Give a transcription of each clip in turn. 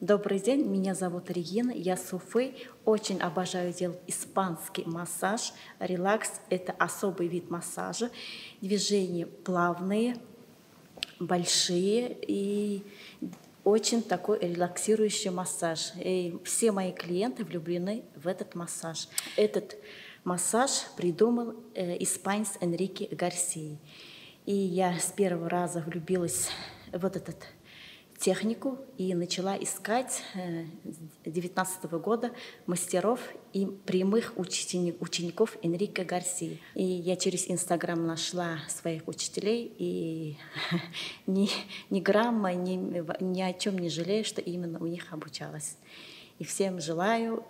Добрый день, меня зовут Регина, я с Уфы. Очень обожаю делать испанский массаж. Релакс – это особый вид массажа. Движения плавные, большие и очень такой релаксирующий массаж. И все мои клиенты влюблены в этот массаж. Этот массаж придумал э, испанец Энрике Гарсии. И я с первого раза влюбилась в вот этот технику и начала искать 19 э, -го года мастеров и прямых учени учеников Энрика Гарсии. И я через Инстаграм нашла своих учителей и ни, ни грамма, ни, ни о чем не жалею, что именно у них обучалась. И всем желаю,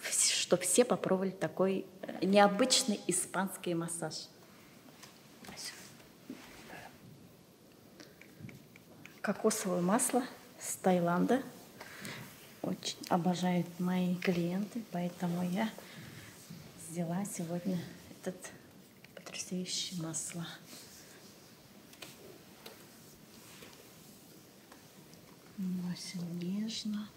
что все попробовали такой э, необычный испанский массаж. Кокосовое масло с Таиланда. Очень обожают мои клиенты, поэтому я взяла сегодня этот потрясающее масло. Наносим нежно.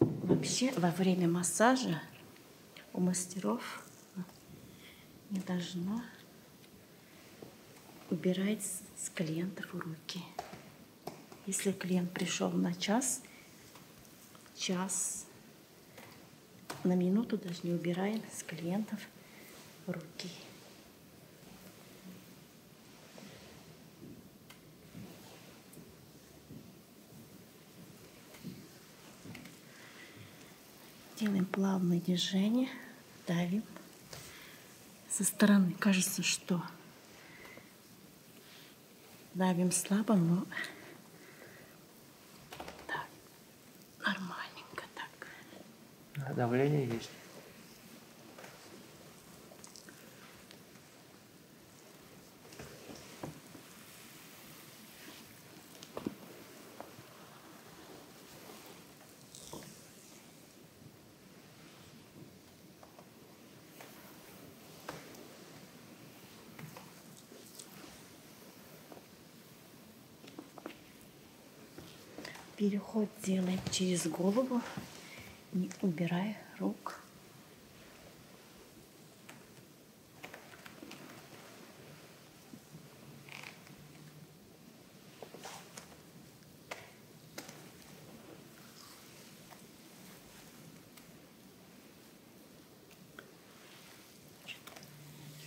Вообще во время массажа у мастеров не должно убирать с клиентов руки. Если клиент пришел на час, час, на минуту даже не убираем с клиентов руки. Делаем плавные движения, давим со стороны. Кажется, что давим слабо, но так, нормальненько так. А давление есть? переход делаем через голову не убирая рук.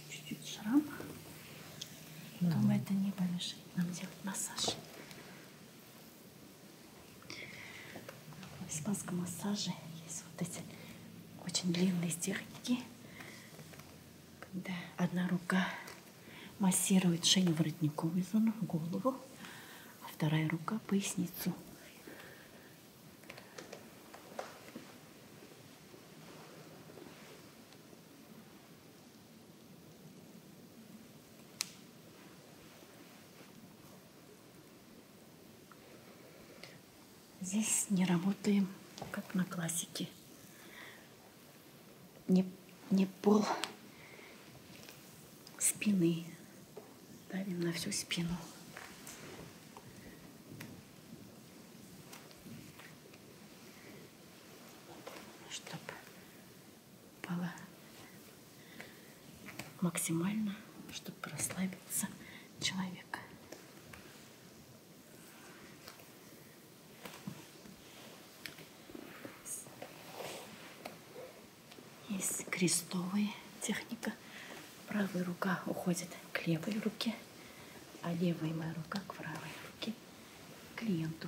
Чуть-чуть шрам. Но mm -hmm. это не помешает нам делать массаж. В испанском массаже есть вот эти очень длинные техники, когда одна рука массирует шею воротниковую зону, голову, а вторая рука поясницу. Здесь не работаем, как на классике. Не, не пол спины. Давим на всю спину. чтобы пола максимально, чтобы расслабиться человек. Есть крестовая техника. Правая рука уходит к левой руке, а левая моя рука к правой руке, к клиенту.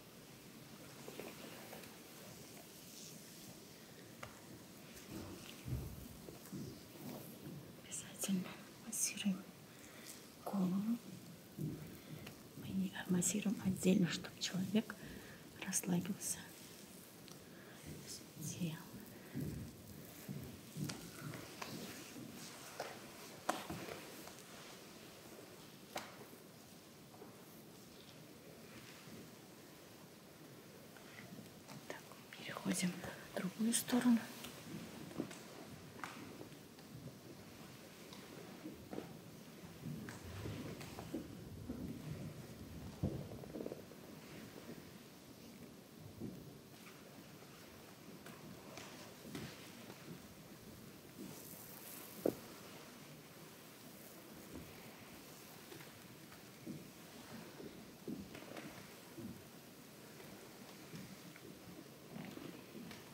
Обязательно массируем голову. Мы не массируем отдельно, чтобы человек расслабился. Тело. Так, переходим на другую сторону.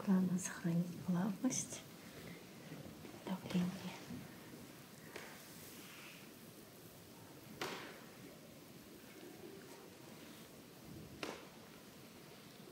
Главное сохранить плавность, давление.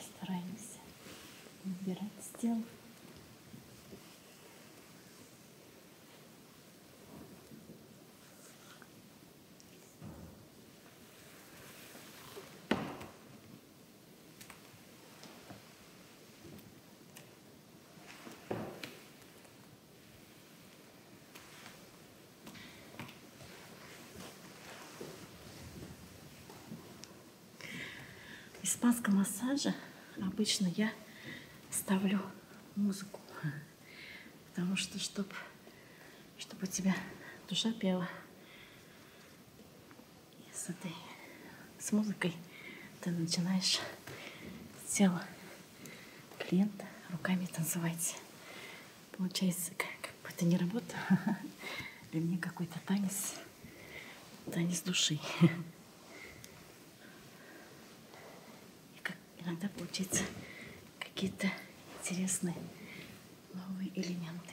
Стараемся убирать стел испанском массаже обычно я ставлю музыку, потому что, чтобы чтобы у тебя душа пела. И с этой, с музыкой ты начинаешь тело клиента руками танцевать. Получается, как, как бы это не работа, для меня какой-то танец, танец души. И как иногда получается какие-то интересные новые элементы.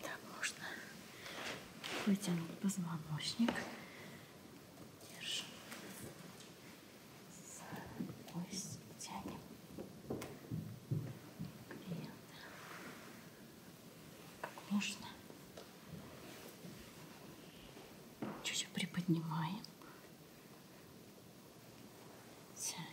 Так, можно вытянуть позвоночник. Держим с пояс тянем. И как можно. Чуть-чуть приподнимаем. Тянем.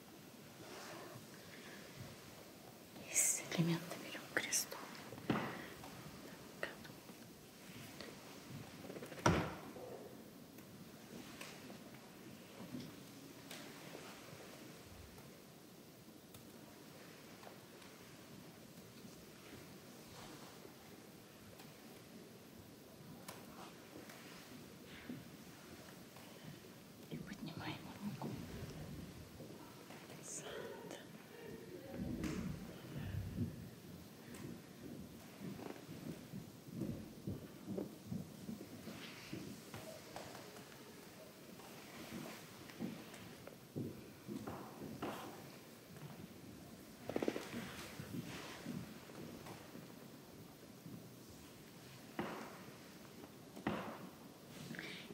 Из элемента берем крестом. Так. И поднимаем руку назад.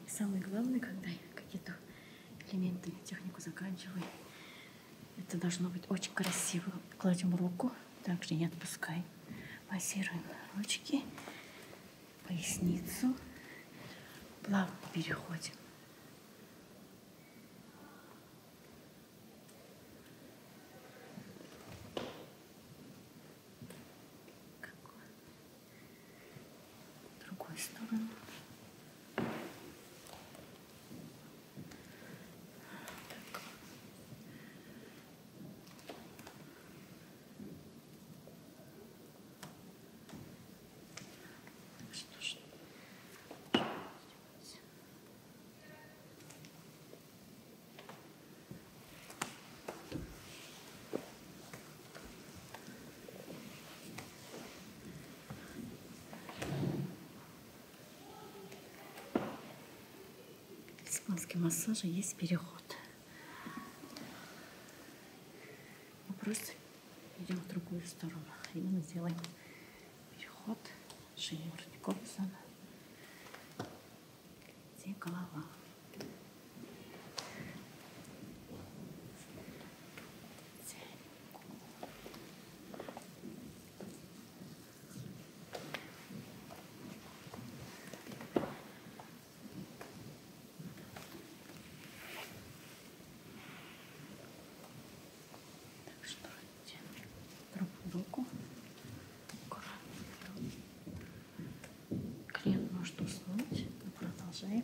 И самое главное, когда я какие-то элементы, технику заканчиваю, это должно быть очень красиво. Кладем руку, также не отпускай. Массируем ручки, поясницу. Плавно переходим. Какой? В другую сторону. Так. Что ж, что сделать? испанский массажа есть переход. Мы просто идем в другую сторону. И мы делаем переход шеи воротниковой зоны где голова. Так что руку аккуратно беру. Клиент может уснуть. Мы продолжаем.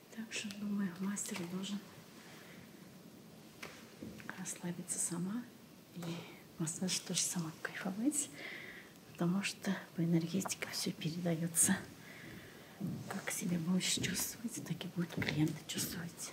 Так что, думаю, мастер должен расслабиться сама. И массаж тоже сама кайфовать. Потому что по энергетике все передается. Как себя будешь чувствовать, так и будет клиент чувствовать.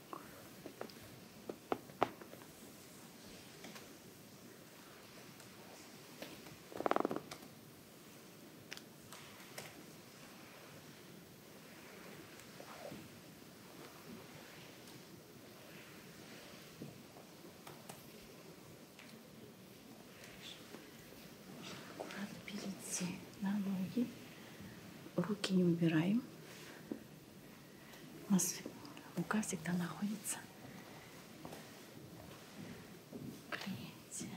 Аккуратно берите на ноги. Руки не убираем. У нас рука всегда находится. Клеите.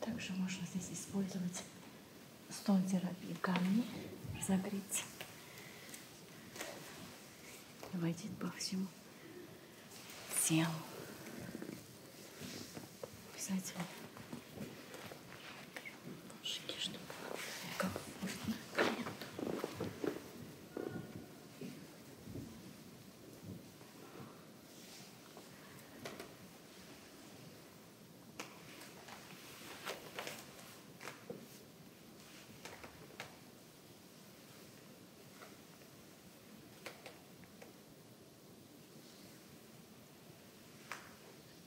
Также можно здесь использовать стон терапии камни, загреть. Войдет по всему телу. Обязательно. Ножики, чтобы как можно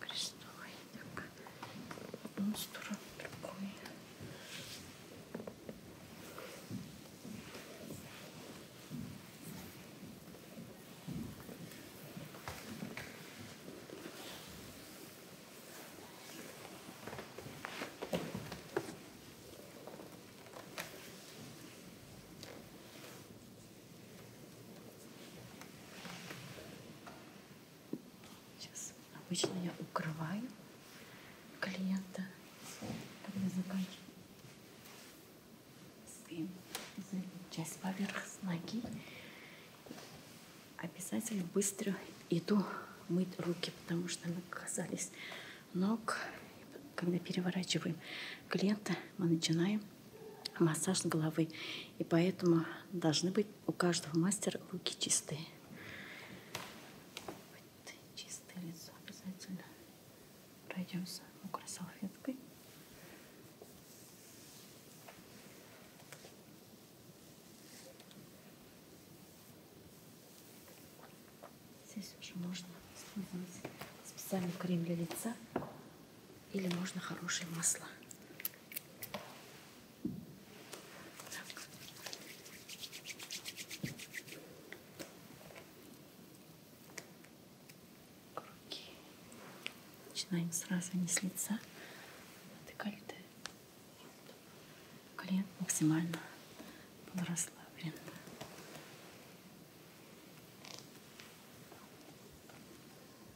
крестовый, так, одну сторону, другую. Сейчас обычно я укрываю клиента, когда заканчиваю часть поверх с ноги. Обязательно быстро иду мыть руки, потому что мы касались ног. Когда переворачиваем клиента, мы начинаем массаж головы. И поэтому должны быть у каждого мастера руки чистые. Вот, чистое лицо обязательно. Пройдемся мокрой салфеткой. Здесь уже можно использовать специальный крем для лица. Или можно хорошие масла. Так. Круги. Начинаем сразу не с лица, а декольте. Клиент максимально был расслаблен.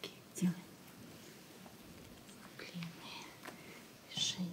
Такие делаем длинные движения.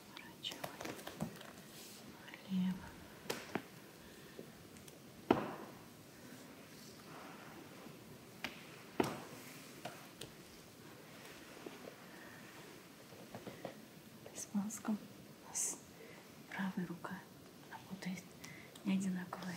поворачиваем налево. С мозгом у нас правая рука работает не одинаковая.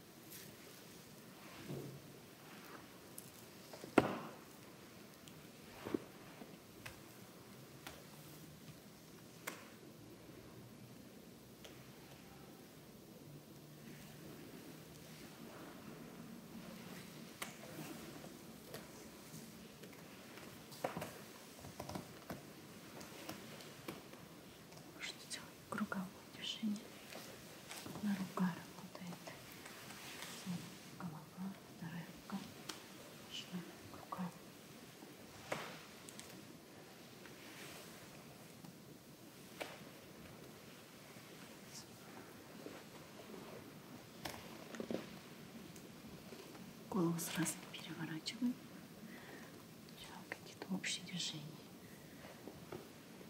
Что делать? круговое движение. Одна рука работает. Голова, вторая рука. Шла рука. Голову сразу переворачиваем. Какие-то общие движения.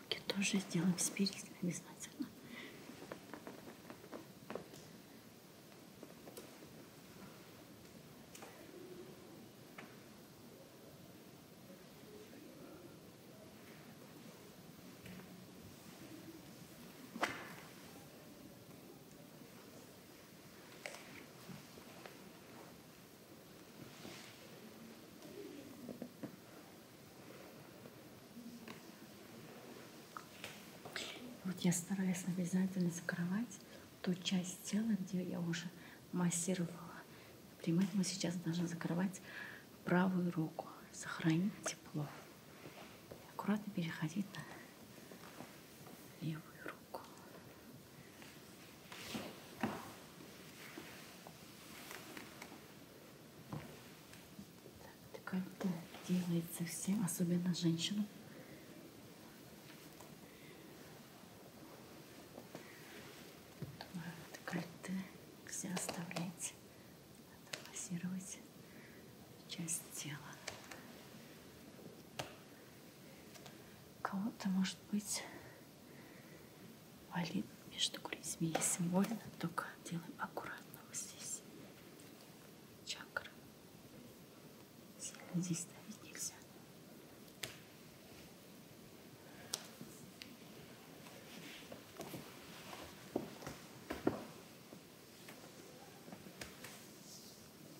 Руки тоже сделаем с перистом обязательно. Вот я стараюсь обязательно закрывать ту часть тела, где я уже массировала. Например, мы сейчас должны закрывать правую руку, сохранить тепло. Аккуратно переходить на левую руку. Декольте а делается всем, особенно женщинам. Декольте нельзя оставлять, надо массировать часть тела кого-то, может быть, валит между грудьми. Если больно, только делаем аккуратно вот здесь. Чакры. Сильно здесь давить нельзя.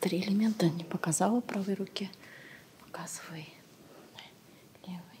Три элемента не показала правой руки. Показывай левой.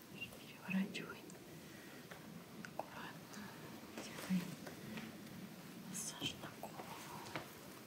переворачивай аккуратно, делай массаж на голову. Хорошо.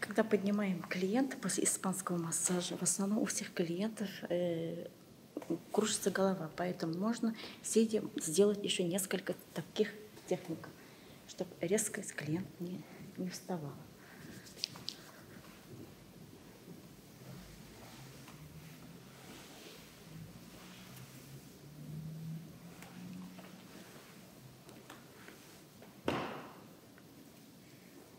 Когда поднимаем клиента после испанского массажа, в основном у всех клиентов э, кружится голова, поэтому можно сидя сделать еще несколько таких техник, чтобы резко клиент не, не вставал.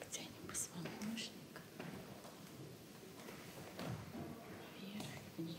Потянем позвоночник вверх, вниз.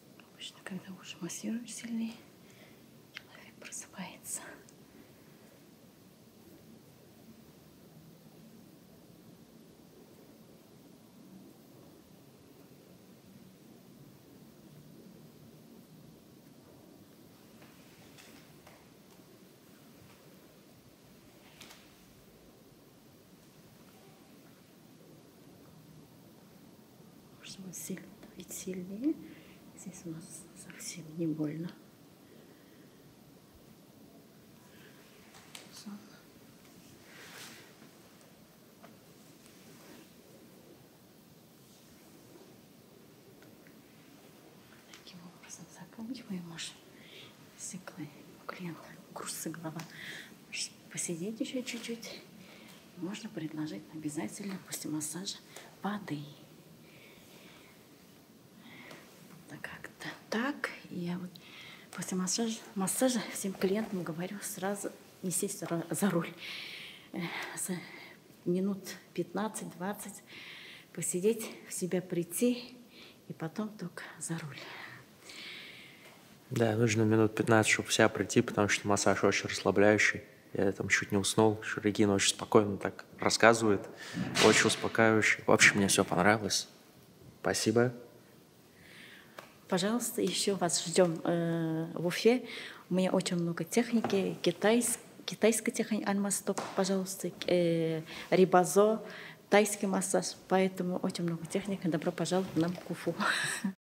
Обычно, когда уши массируют сильнее, человек просыпается. Можно сильно давить сильнее. Здесь у нас совсем не больно. Таким образом заканчиваем наш циклы клиента курсы глава посидеть еще чуть-чуть, можно предложить обязательно после массажа воды. Вот как-то так. Я вот после массажа, массажа всем клиентам говорю сразу не сесть за руль. Э, за минут 15-20 посидеть, в себя прийти и потом только за руль. Да, нужно минут 15, чтобы вся прийти, потому что массаж очень расслабляющий. Я там чуть не уснул. Шуригин очень спокойно так рассказывает. Очень успокаивающе. В общем, мне все понравилось. Спасибо. Пожалуйста, еще вас ждем э, в Уфе. У меня очень много техники. Китайск, китайская техника, анмасток, пожалуйста, э, рибазо, тайский массаж. Поэтому очень много техники. Добро пожаловать нам в Уфу.